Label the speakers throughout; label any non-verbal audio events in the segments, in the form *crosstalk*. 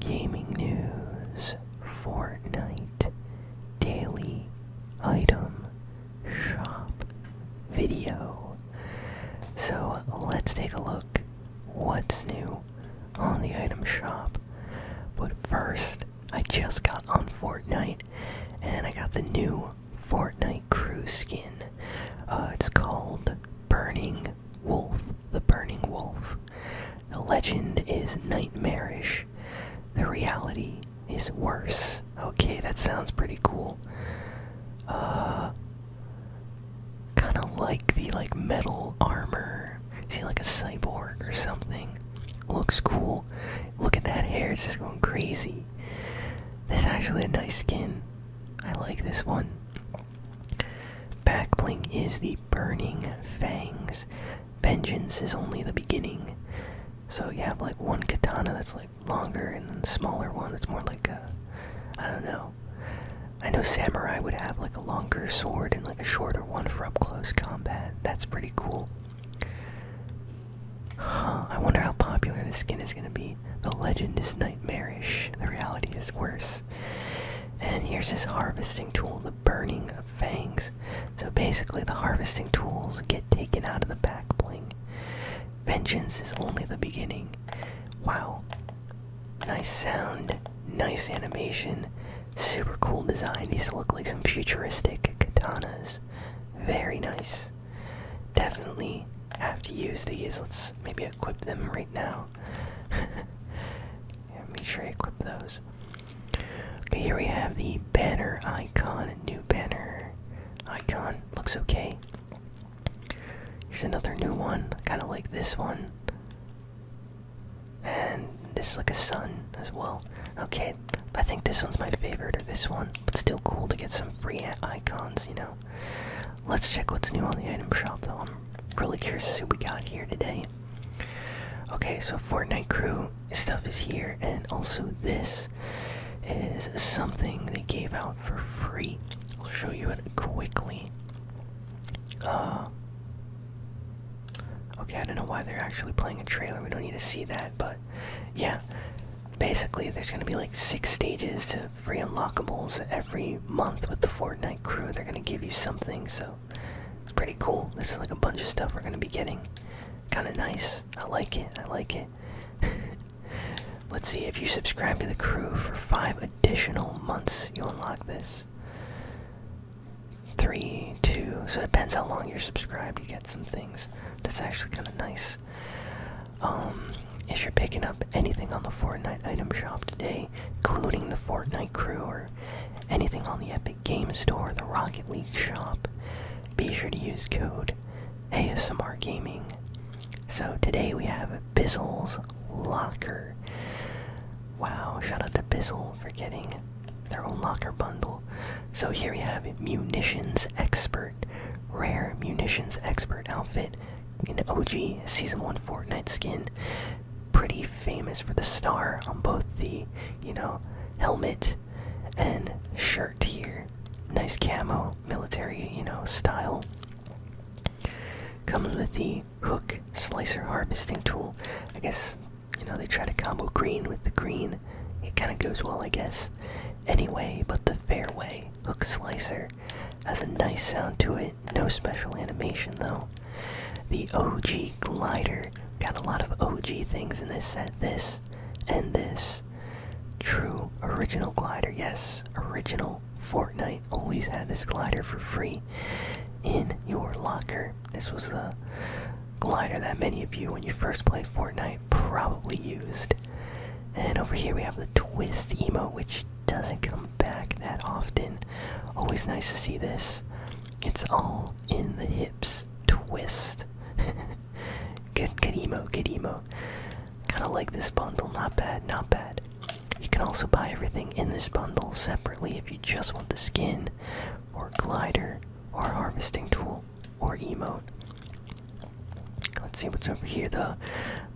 Speaker 1: Gaming news, Fortnite, daily item, shop, video. So let's take a look what's new on the item shop. But first, I just got on Fortnite and I got the new Fortnite crew skin. Uh, it's called Burning Wolf, the Burning Wolf. The legend is nightmarish. The reality is worse. Okay, that sounds pretty cool. Uh kind of like the like metal armor. See like a cyborg or something. Looks cool. Look at that hair, it's just going crazy. This actually a nice skin. I like this one. Backbling is the burning fangs. Vengeance is only the beginning. So you have like one katana that's like longer and then the smaller one that's more like a I don't know. I know samurai would have like a longer sword and like a shorter one for up close combat. That's pretty cool. I wonder how popular this skin is gonna be. The legend is nightmarish. The reality is worse. And here's his harvesting tool, the burning of fangs. So basically, the harvesting tools get taken out of the back bling. Vengeance is only the beginning. Wow. Nice sound, nice animation, super cool design. These look like some futuristic katanas. Very nice. Definitely have to use these. Let's maybe equip them right now now. *laughs* yeah, make sure I equip those. Okay, here we have the banner icon, A new banner icon. Looks okay. Here's another new one, kind of like this one. And this is like a sun as well. Okay, I think this one's my favorite, or this one. But still cool to get some free icons, you know. Let's check what's new on the item shop though. I'm really curious to see what we got here today. Okay, so Fortnite Crew stuff is here, and also this is something they gave out for free. I'll show you it quickly. Uh, okay, I don't know why they're actually playing a trailer. We don't need to see that, but yeah. Basically, there's going to be like six stages to free unlockables every month with the Fortnite crew. They're gonna give you something, so it's pretty cool. This is like a bunch of stuff we're gonna be getting. Kind of nice. I like it. I like it. *laughs* Let's see if you subscribe to the crew for five additional months, you unlock this. Three, two. So it depends how long you're subscribed. You get some things. That's actually kind of nice. Um, if you're picking up anything on the Fortnite item shop today, including the Fortnite crew or anything on the Epic Games Store, the Rocket League shop, be sure to use code ASMR Gaming. So today we have Bizzle's Locker. Wow, shout out to Bizzle for getting their own locker bundle. So here we have Munitions Expert, Rare Munitions Expert outfit, an OG Season 1 Fortnite skin. Pretty famous for the star on both the, you know, helmet and shirt here. Nice camo, military, you know, style. Comes with the hook slicer harvesting tool. I guess, you know, they try to combo green with the green. It kind of goes well, I guess. Anyway, but the fairway hook slicer has a nice sound to it. No special animation though. The OG glider. Got a lot of OG things in this set. This and this. True original glider. Yes, original Fortnite always had this glider for free in your locker. This was the glider that many of you, when you first played Fortnite, probably used. And over here we have the twist emote, which doesn't come back that often. Always nice to see this. It's all in the hips twist. *laughs* good, good emo, good emo. Kinda like this bundle, not bad, not bad. You can also buy everything in this bundle separately if you just want the skin, or glider, or harvesting tool, or emo. Let's see what's over here. The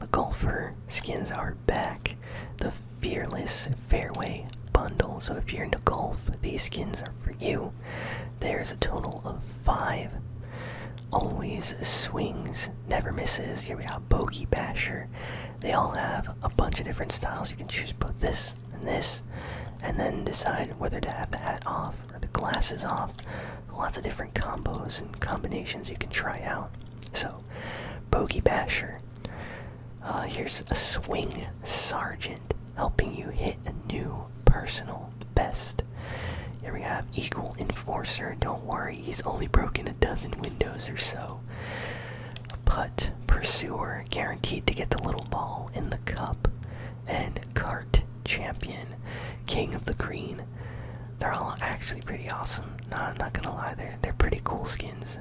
Speaker 1: the golfer skins are back the Fearless Fairway Bundle. So if you're into golf, these skins are for you. There's a total of five. Always swings, never misses. Here we go, Bogey Basher. They all have a bunch of different styles. You can choose both this and this, and then decide whether to have the hat off or the glasses off. Lots of different combos and combinations you can try out. So go. Bogey Basher. Uh, here's a swing sergeant helping you hit a new personal best. Here we have eagle Enforcer. Don't worry, he's only broken a dozen windows or so. A putt Pursuer, guaranteed to get the little ball in the cup. And Cart Champion, King of the Green they're all actually pretty awesome. Not, not gonna lie, they're, they're pretty cool skins.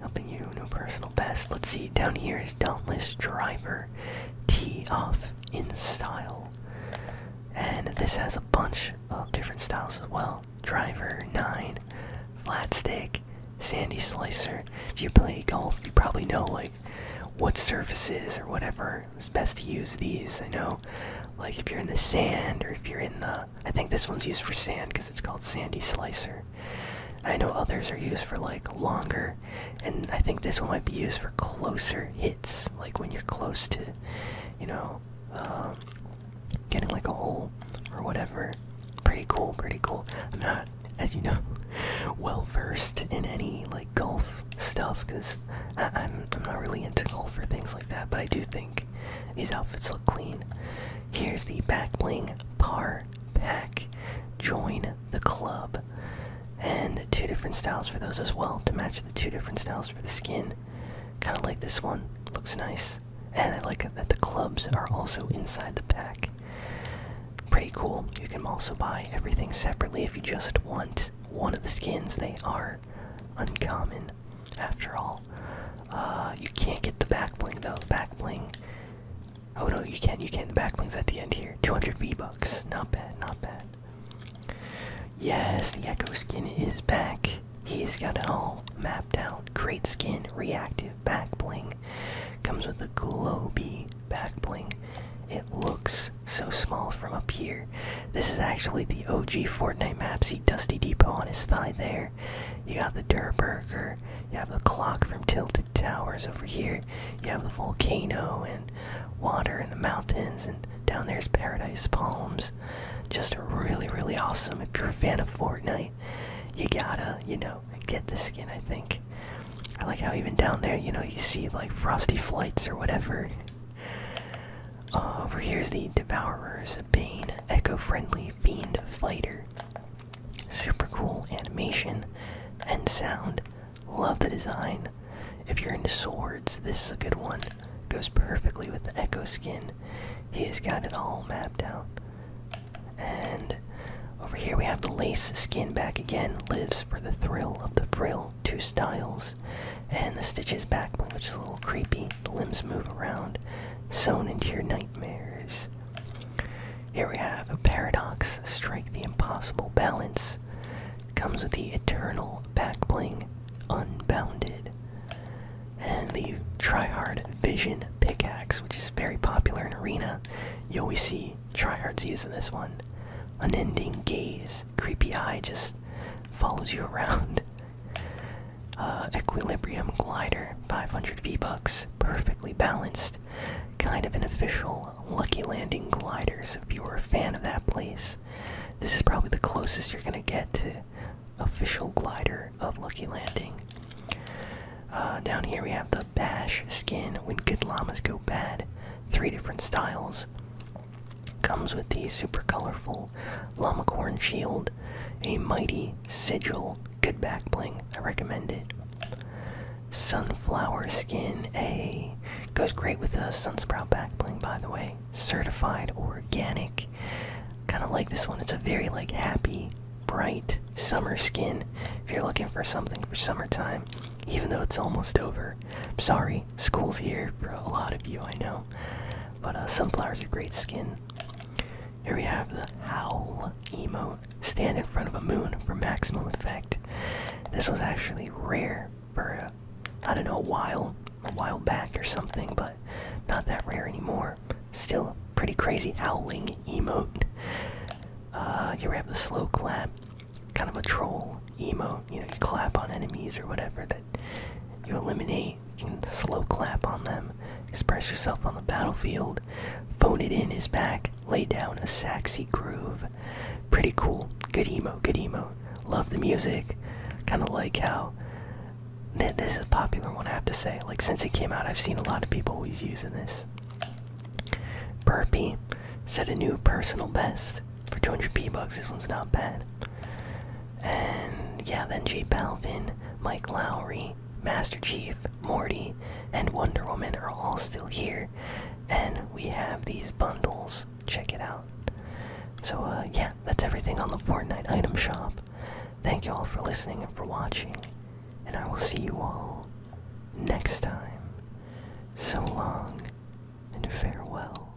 Speaker 1: Helping you, no personal best. Let's see, down here is Dauntless Driver. Tee off in style. And this has a bunch of different styles as well. Driver, 9, flat stick, sandy slicer. If you play golf, you probably know like what surfaces or whatever is best to use these. I know like if you're in the sand or if you're in the, I think this one's used for sand because it's called sandy slicer. I know others are used for like longer, and I think this one might be used for closer hits, like when you're close to, you know, um, getting like a hole or whatever. Pretty cool, pretty cool. I'm not, as you know, *laughs* well versed in any like golf stuff because I'm, not really into golf or things like that, but I do think back. These outfits look clean. Here's the back bling par pack. Join the club. And the two different styles for those as well to match the two different styles for the skin. Kind of like this one. Looks nice. And I like that the clubs are also inside the pack. Pretty cool. You can also buy everything separately if you just want one of the skins. They are uncommon after all. Uh, you can't get the back bling though. Back bling. Oh no, you can. not You can. not The back bling's at the end here. 200 V bucks. Not bad. Not bad. Yes, the Echo skin is back. He's got it all mapped out. Great skin, reactive back bling. Comes with a globy back bling. It looks so small from up here. This is actually the OG Fortnite map. See Dusty Depot on his thigh there. You got the Durburger. You have the clock from Tilted Towers over here. You have the volcano and water and the mountains, and down there's Paradise Palms. Just really, really awesome. If you're a fan of Fortnite, you gotta, you know, get the skin, I think. I like how even down there, you know, you see like frosty flights or whatever. Uh, over here is the Devourer's Bane Eco-Friendly Fiend Fighter. Super cool animation and sound. Love the design. If you're into swords, this is a good one. Goes perfectly with the Echo skin. He has got it all mapped out. And over here we have the lace skin back again. Lives for the thrill of the frill. Two styles and the stitches back which is a little creepy the limbs move around sewn into your nightmares here we have a paradox strike the impossible balance comes with the eternal back unbounded and the tryhard vision pickaxe which is very popular in arena you always see tryhards using this one unending gaze creepy eye just follows you *laughs* around uh, Equilibrium Glider, 500 V-Bucks, perfectly balanced. Kind of an official Lucky Landing glider, so if you were a fan of that place, this is probably the closest you're gonna get to official glider of Lucky Landing. Uh, down here we have the Bash skin, when good llamas go bad. Three different styles. Comes with the super colorful Lamacorn shield, a mighty sigil, good back bling. I recommend it. Sunflower skin, a goes great with a sunsprout back bling. By the way, certified organic. Kind of like this one. It's a very like happy, bright summer skin. If you're looking for something for summertime, even though it's almost over. sorry, school's here for a lot of you. I know. But uh, Sunflower's are great skin. Here we have the Howl emote. Stand in front of a moon for maximum effect. This was actually rare for, uh, I don't know, a while, a while back or something, but not that rare anymore. Still pretty crazy howling emote. Uh, here we have the slow clap, kind of a troll emote. You know, you clap on enemies or whatever that you eliminate. Can slow clap on them, express yourself on the battlefield, phone it in his back, lay down a saxy groove. Pretty cool. Good emo, good emo. Love the music. Kind of like how. this is a popular one, I have to say. Like, since it came out, I've seen a lot of people always using this. Burpee set a new personal best for 200 P bucks. This one's not bad. And yeah, then Jay Palvin, Mike Lowry, Master Chief, Morty, and Wonder Woman are all still here. And we have these bundles. Check it out. So, uh, yeah, that's everything on the Fortnite item shop. Thank you all for listening and for watching. And I will see you all next time. So long and farewell.